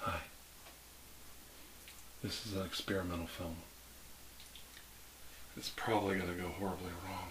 Hi. This is an experimental film. It's probably going to go horribly wrong.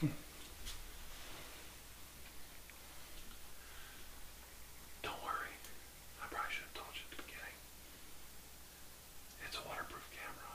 Hmm. Don't worry, I probably should have told you at the beginning. It's a waterproof camera.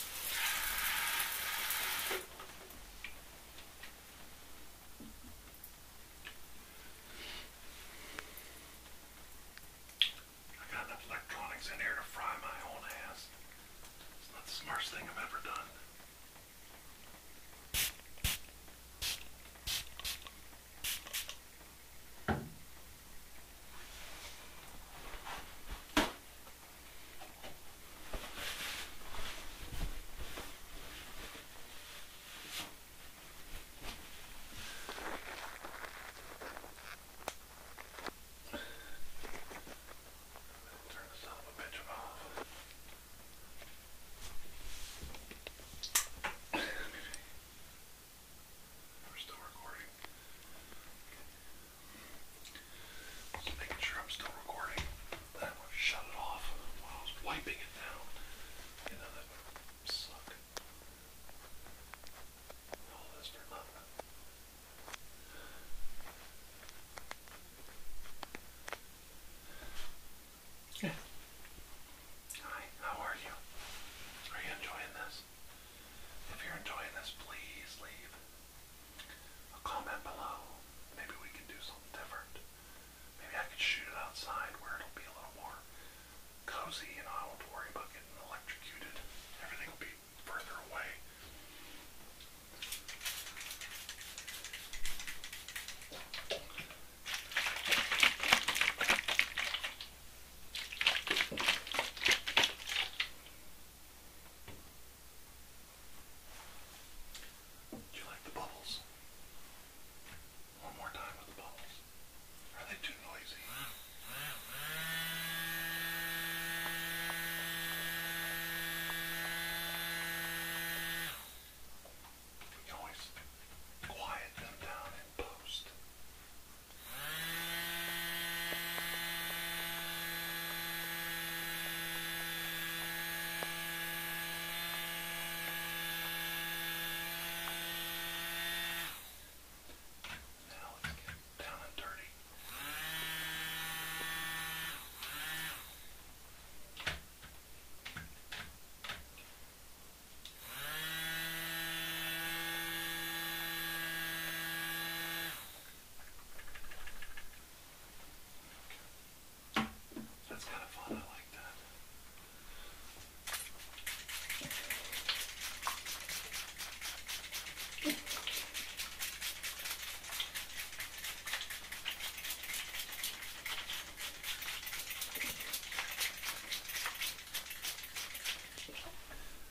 I got enough electronics in here to fry my own ass. It's not the smartest thing I've ever done. Turn the son of a bitch off. We're still recording. Just making sure I'm still recording. That would shut it off while I was wiping it down. You know, that suck. All this for nothing. Yeah. Hi, how are you? Are you enjoying this? If you're enjoying this, please leave a comment below. Maybe we can do something different. Maybe I could shoot it outside where it'll be a little more cozy and I won't worry about getting electrocuted. Everything will be further away. Do you like the bubbles? One more time with the bubbles. Are they too noisy? We always quiet them down in post. Now let's get down and dirty. That's kind of fun, I like that.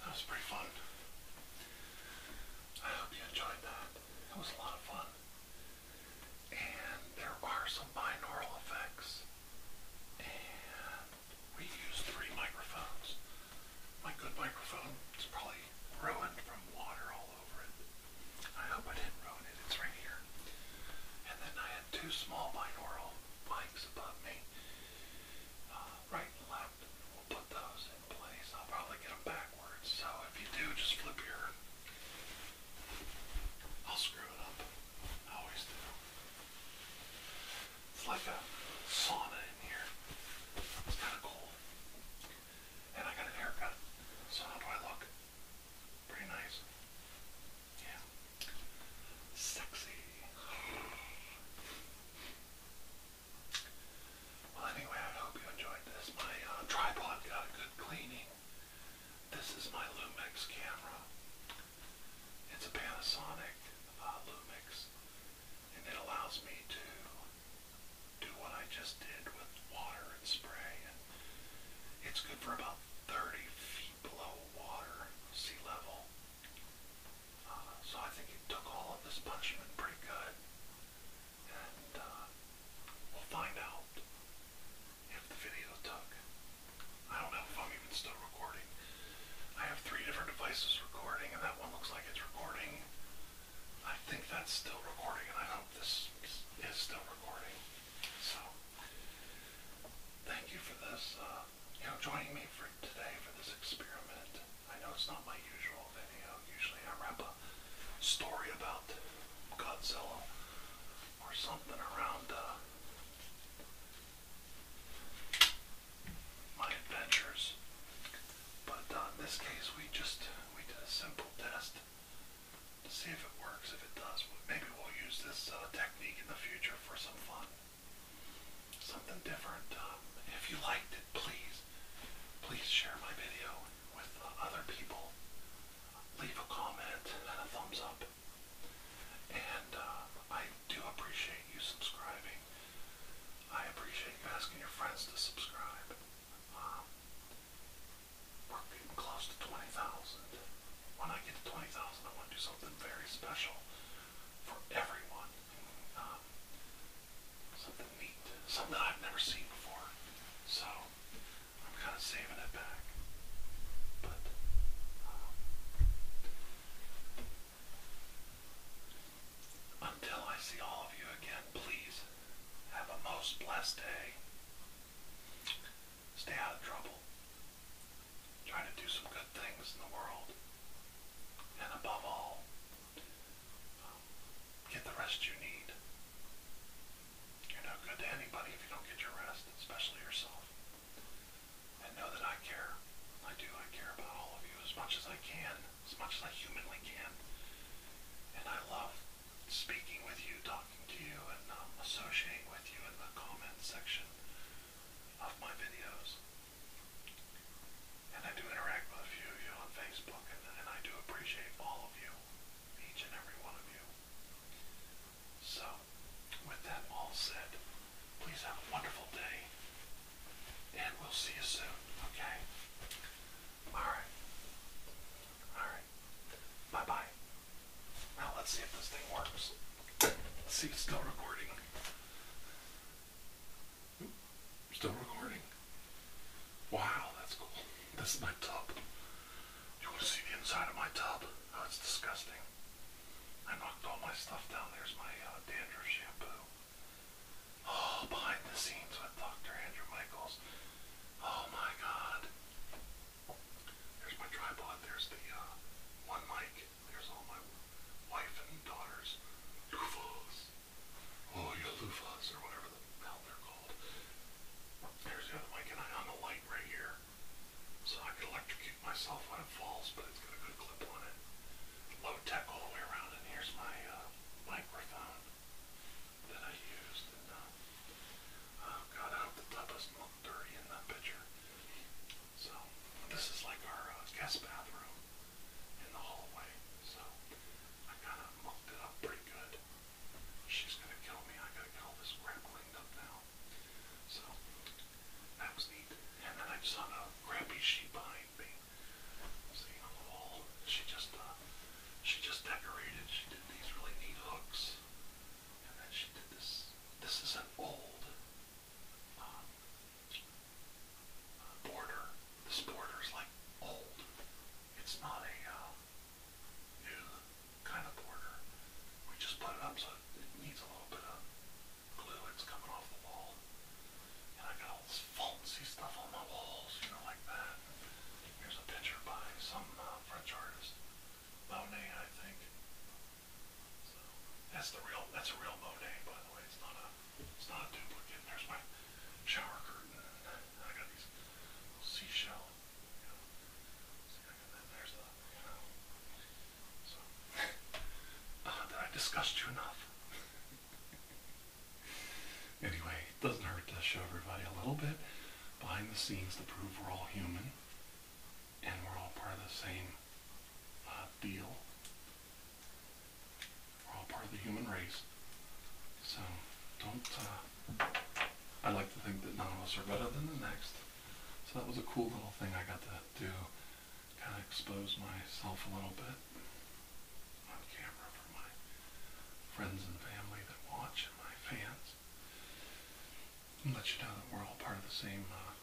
That was pretty fun. I hope you enjoyed that. It was a lot of fun. And there are some binaural effects we use three microphones. My good microphone is probably ruined from water all over it. I hope I didn't ruin it. It's right here. And then I had two small binaural mics above me, uh, right and left. We'll put those in place. I'll probably get them backwards. So if you do, just flip your. I'll screw it up. I always do. It's like a sauna in here. It's kind of cool. And I got a haircut. So how do I look? Pretty nice. Yeah. Sexy. Well, anyway, I hope you enjoyed this. My uh, tripod got a good cleaning. This is my Lumix camera. It's a Panasonic uh, Lumix, and it allows me to do what I just did with water and spray. it's good for about 30 feet below water, sea level. Uh, so I think it took all of this punishment pretty good. And uh, we'll find out the video took. I don't know if I'm even still recording. I have three different devices recording, and that one looks like it's recording. I think that's still recording, and I hope this is still recording. So, thank you for this, uh, you know, joining me for today for this experiment. I know it's not my usual video. Usually I wrap a story about Godzilla or something around uh, my adventures. But uh, in this case, we just we did a simple test to see if it works. If it does, maybe we'll use this uh, technique in the future for some fun, something different. Um, if you liked it, please, please share my video with uh, other people. Leave a comment and a thumbs up. And uh, I do appreciate you subscribing. I appreciate you asking your friends to subscribe. Um, we're getting close to 20,000. When I get to 20,000, I want to do something very special for everyone. Um, something neat, something I've never seen before. So I'm kind of saving it back. But uh, until I see all of you again, please have a most blessed day. Stay out of trouble. Try to do some good things in the world. And above all, get the rest you need. You're no good to anybody if you don't get your rest, especially yourself. And know that I care. I do. I care about all of you as much as I can, as much as I humanly can. And I love speaking with you, talking to you, and um, associating with you in the comment section of my videos. And I do interact with a few of you on Facebook, and, and I do appreciate all of you, each and every one of you. So, with that all said, please have a wonderful day, and we'll see you soon, okay? Alright. Alright. Bye-bye. Now, let's see if this thing works. see still recording. Still recording. Wow, that's cool. This is my tub. You want to see the inside of my tub? Oh, it's disgusting. I knocked all my stuff down. There's my uh, dandruff shampoo. Oh, behind the scenes with Dr. Andrew Michaels. Oh my god. There's my tripod. There's the uh, one mic. There's all my wife and daughters. Loofahs. Oh, you loofahs or whatever the hell they're called. There's the other mic, and I on the light right here. So I could electrocute myself when it falls, but it's got a good clip on it. Low tech all the way around, and here's my uh, microphone that I used. And uh, oh god, I hope the tub doesn't look dirty in that picture. So this is like our uh, guest bathroom in the hallway. So I kind of mucked it up pretty good. She's gonna kill me. I gotta get all this crap cleaned up now. So that was neat. And then I just saw a crappy sheep behind me. See on the wall. She just uh she just decorated. She did these really neat hooks. And then she did this this is an old um, border. This border is like old. It's not a uh, new kind of border. We just put it up so it needs a little bit of glue that's coming off the wall. And I got all this fancy stuff on my walls, you know, like that. Here's a picture by some uh, French artist, Monet, I think. So that's the real. That's a real Monet, by the way. It's not a. It's not a duplicate. There's my shower curtain. I got these little seashell. You know, see, I got that. There's a. You know, did uh, I disgust you enough? anyway, it doesn't hurt to show everybody a little bit behind the scenes to prove we're all human and we're all part of the same uh, deal. We're all part of the human race. So, don't, uh, I like to think that none of us are better than the next. So that was a cool little thing I got to to kind of expose myself a little bit on camera for my friends and family that watch my fans. And let you know that we're all part of the same, uh,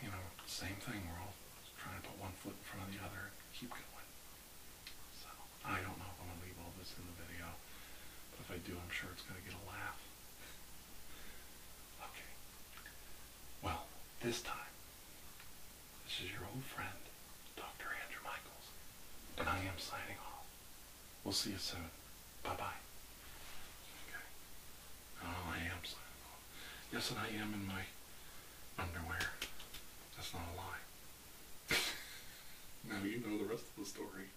you know, same thing. We're all trying to put one foot in front of the other and keep going. So I don't know if I'm going to leave all this in the video, but if I do, I'm sure it's going to get a laugh. Okay. Well, this time, this is your old friend, Dr. Andrew Michaels, and I am signing off. We'll see you soon. Bye bye. Okay. Oh, I am signing off. Yes, and I am in my underwear. That's not a lie. now you know the rest of the story.